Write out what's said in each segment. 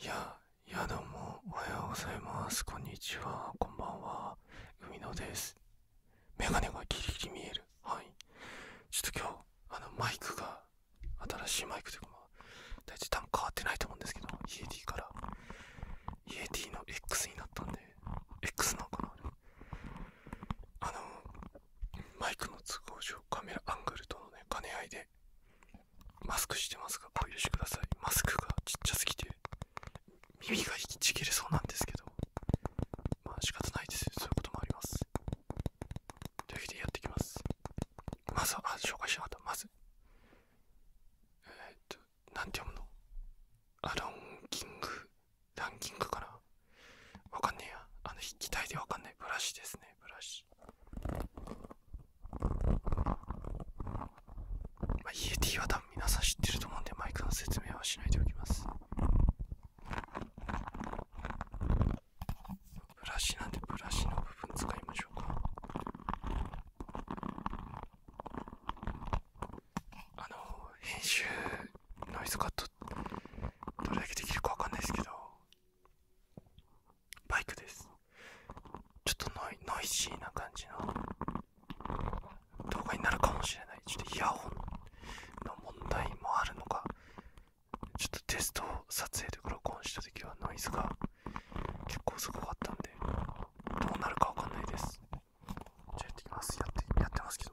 いや、いやどうも、おはようございます。こんにちは、こんばんは。海野です。メガネがギリギリ見える。はい。ちょっと今日、あの、マイクが、新しいマイクというか、まあ、大体多分変わってないと思うんですけど、イエティから、イエティの X になったんで、X なのかなあれ。あの、マイクの都合上、カメラアングルとのね、兼ね合いで、マスクしてますが、お許しください。マスクがちっちゃすぎて、耳が引きちぎれそうなんですけど、まあ仕方ないです。そういうこともあります。というわけでやっていきます。まずは、紹介しなかった。まず、えっと、なて読むのアランキング、ランキングかなわかんねえや。あの、筆記体でわかんない。ブラシですね、ブラシ。まあ、EUT は多分皆さん知ってると思うんでマイクの説明はしないでおきますブラシなんでブラシの部分使いましょうかあの編集ノイズカットどれだけできるかわかんないですけどバイクですちょっとノイジーな感じの動画になるかもしれないちょっとイヤホンの問題もあるのかちょっとテスト撮影で録音した時はノイズが結構すごかったんでどうなるかわかんないですじゃあやってきますやってやってますけど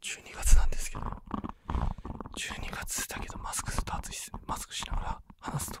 12月なんですけど12月だけどマスクスタートしっすマスクしながら話すと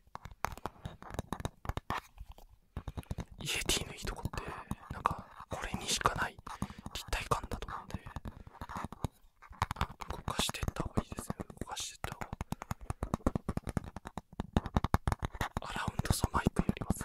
イエティのいいとこってなんかこれにしかない立体感だと思うんで動かしてった方がいいですね動かしてった方がアラウンドサマイクやります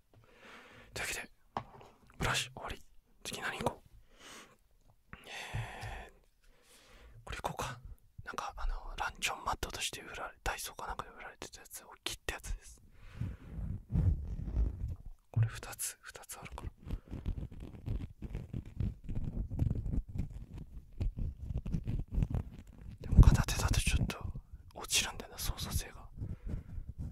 というわけでブラシ終わり次何行こうえこれ行こうかなんかあのランチョンマットとして売られダイソーかなんかで売られてたやつ大きいってやつですこれ2つ2つあるからでも片手だとちょっと落ちるんだよな操作性が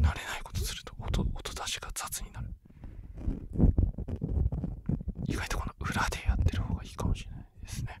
慣れないことすると音音出しが雑になる意外とこの裏でやってる方がいいかもしれないですね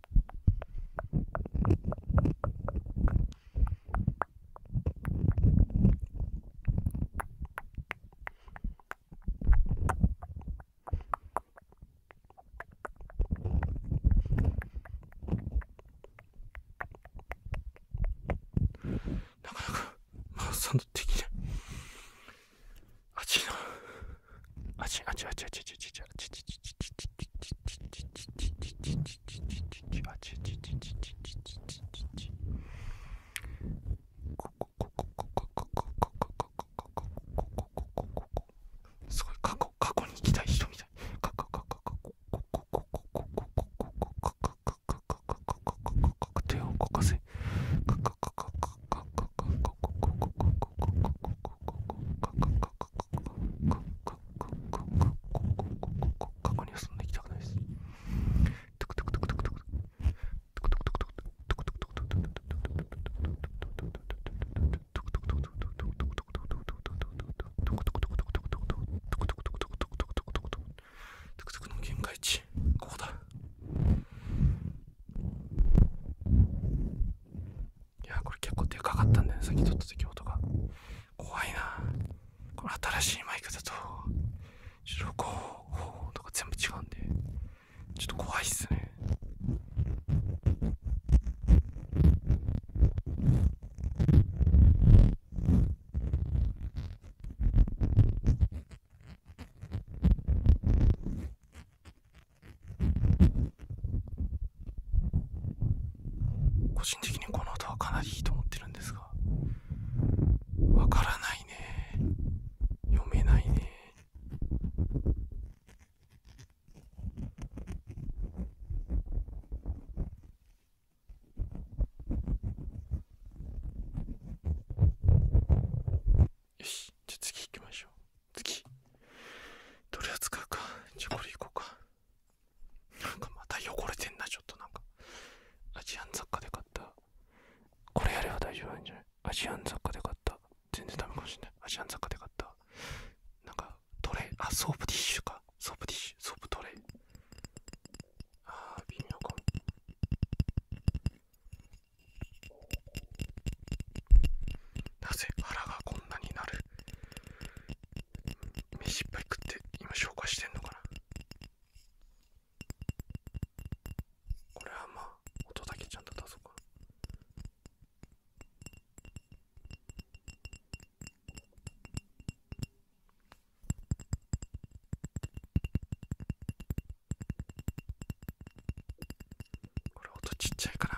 なかなかマウスサンドできない。あっちいあちあちあちあちあちあちあちあちあちあちすごい過去過去に行きたい人みたい過去過去過去手を動かせ過去にはんな行きたくいです。トクトクの限界値ここだいやこれ結構でかかったんだよねさっき撮った時音が怖いなこれ新しいマイクだとちょっとこうとか全部違うんでちょっと怖いっすね個人的にこの音はかなりいいと思ってるんですがわからないね読めないねよしじゃあ次行きましょう次どれを使うかじゃあこれいこうかなんかまた汚れてんなちょっとなんかアジアン雑貨で買ったこれやれば大丈夫なんじゃないアジアン雑貨で買った全然ダメかもしんないアジアン雑貨で買ったなんかトレあソープティッシュかソープティッシュソープトレイああ微妙かなぜ腹がこんなになる飯いっぱい食って今消化してんのかなこれはまあ音だけちゃんと出そうかこれ音ちっちゃいかな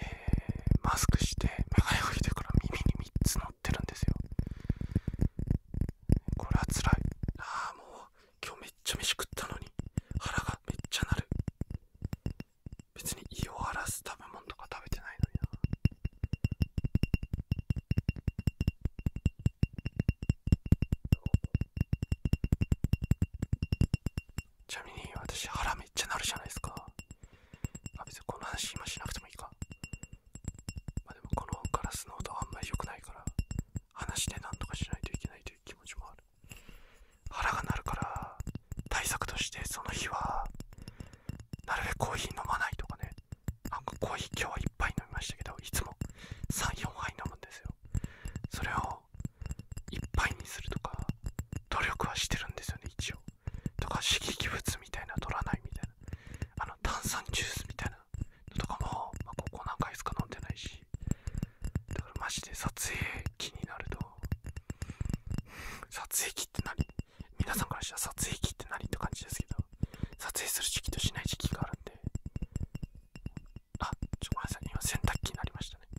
えマスクして眼鏡をしてから耳に3つ乗ってるんですよこれはつらいああもう今日めっちゃ飯食ったのに腹がめっちゃ鳴る別に胃を荒らす食べ物とか食べてないのになちなみに私腹めっちゃなるじゃないですかあ別にこの話今しなくてもいいかまでもこのガラスの音あんまり良くないから話でなんとかしないといけないという気持ちもある腹が鳴るから対策としてその日はなるべくコーヒー飲まないとかねなんかコーヒー今日は1杯飲みましたけどいつも34杯飲むんですよそれをいっぱいにするとか努力はしてるんですよね一応とか刺激物みたいな取らないみたいなあの炭酸ジュースみたいなのとかも、まここ何回しか飲んでないしだからマジで撮影機になると撮影機って何皆さんからしたら撮影機って何って感じですけど撮影する時期としない時期があるんであちょっとごめんなさい今洗濯機になりましたね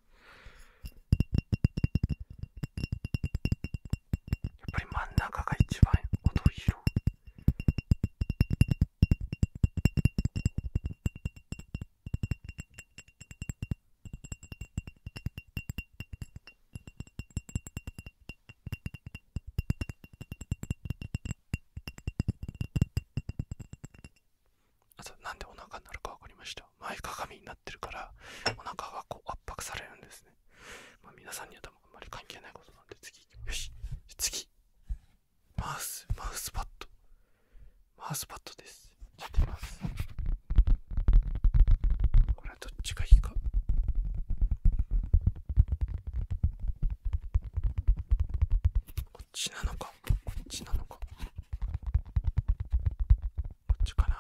やっぱり真ん中が一番音を拾うあとなんでお腹になるか分かりました前かがみになってるからお腹がこう圧迫されるんですね、まあ、皆さんにはあんまり関係ないことなんで次よし次マウスマウスパッドマウスパッドですやってみますこれはどっちがいいかこっちなのかこっちなのかこっちかな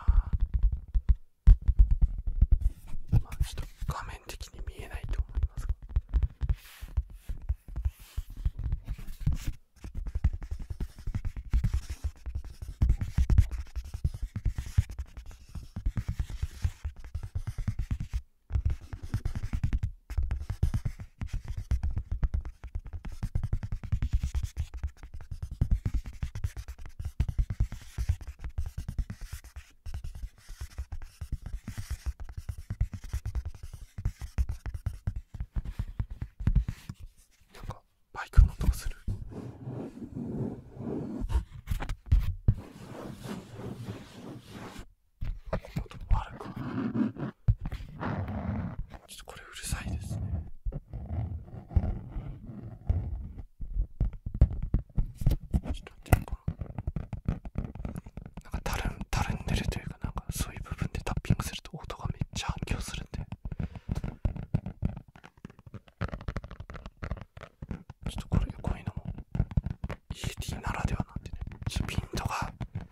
まあちょっと画面的に見えないと思いますがなんかバイクの音がする。この音もあるか。ちょっとこれうるさいですねちょっと待ってこのなんかたるんたるんでるというかなんかそういう部分でタッピングすると音がめっちゃ反響するんでちょっとこれこういうのも ED ならではなんでねちょピントが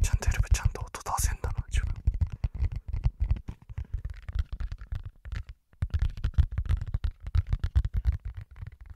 ちゃんとやればちゃんと音出せんだな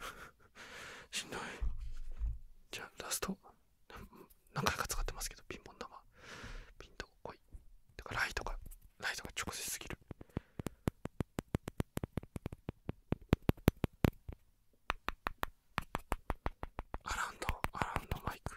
しんどいじゃあラスト何回か使ってますけどピンポン玉ピンとこいだからライトがライトが直接すぎるアラウンドアラウンドマイク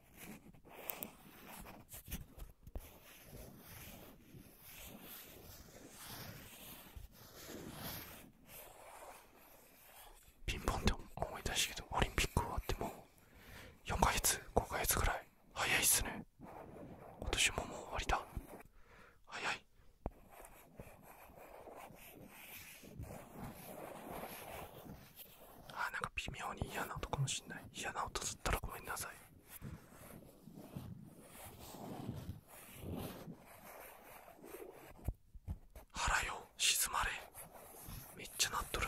ピンポンって思い出したけオリンピック終わってもう4ヶ月5ヶ月くらい早いっすね今年ももう終わりだ早いあなんか微妙に嫌な音かもしんない嫌な音だったらごめんなさい腹よ静まれめっちゃなっとる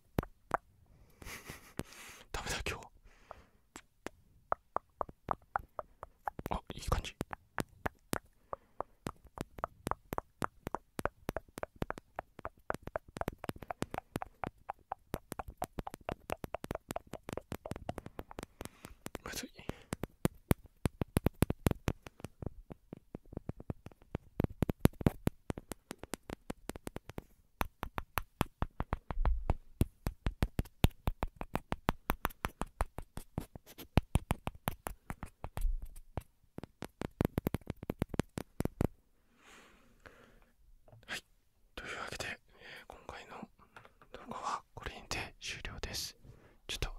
ダメだ今日あいい感じまずいはいというわけで、今回の動画はこれにて終了ですちょっと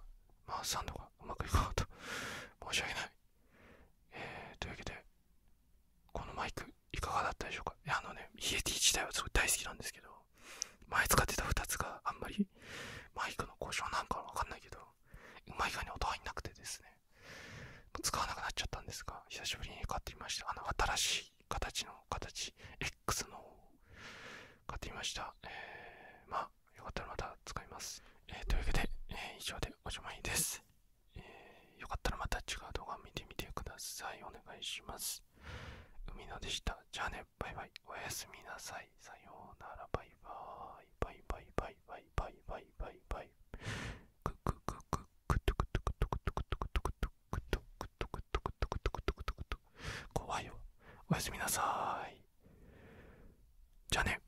マウスサンドがうまくいかなと申し訳ないというわけでこのマイクいかがだったでしょうかあのねイエティ自体はすごい大好きなんですけど前使ってた2つがあんまりマイクの故障なんかわかんないけどうまいかに音入んなくてですね使わなくなっちゃったんですが久しぶりに買ってみましたあの新しい形の形 X の買ってみました、えー、まあよかったらまた使います、えというわけで、えー、以上でおしまいですえー、よかったらまた違う動画見てみてください。お願いします。海野でした。じゃあね、バイバイ。おやすみなさい。さようなら、バイバイ。バイバイバイバイバイバイバイバイ。くくくくくとくとくとくとくとくとくとくとくとくとくとくとくとくとくと怖いよ。おやすみなさい。じゃあね。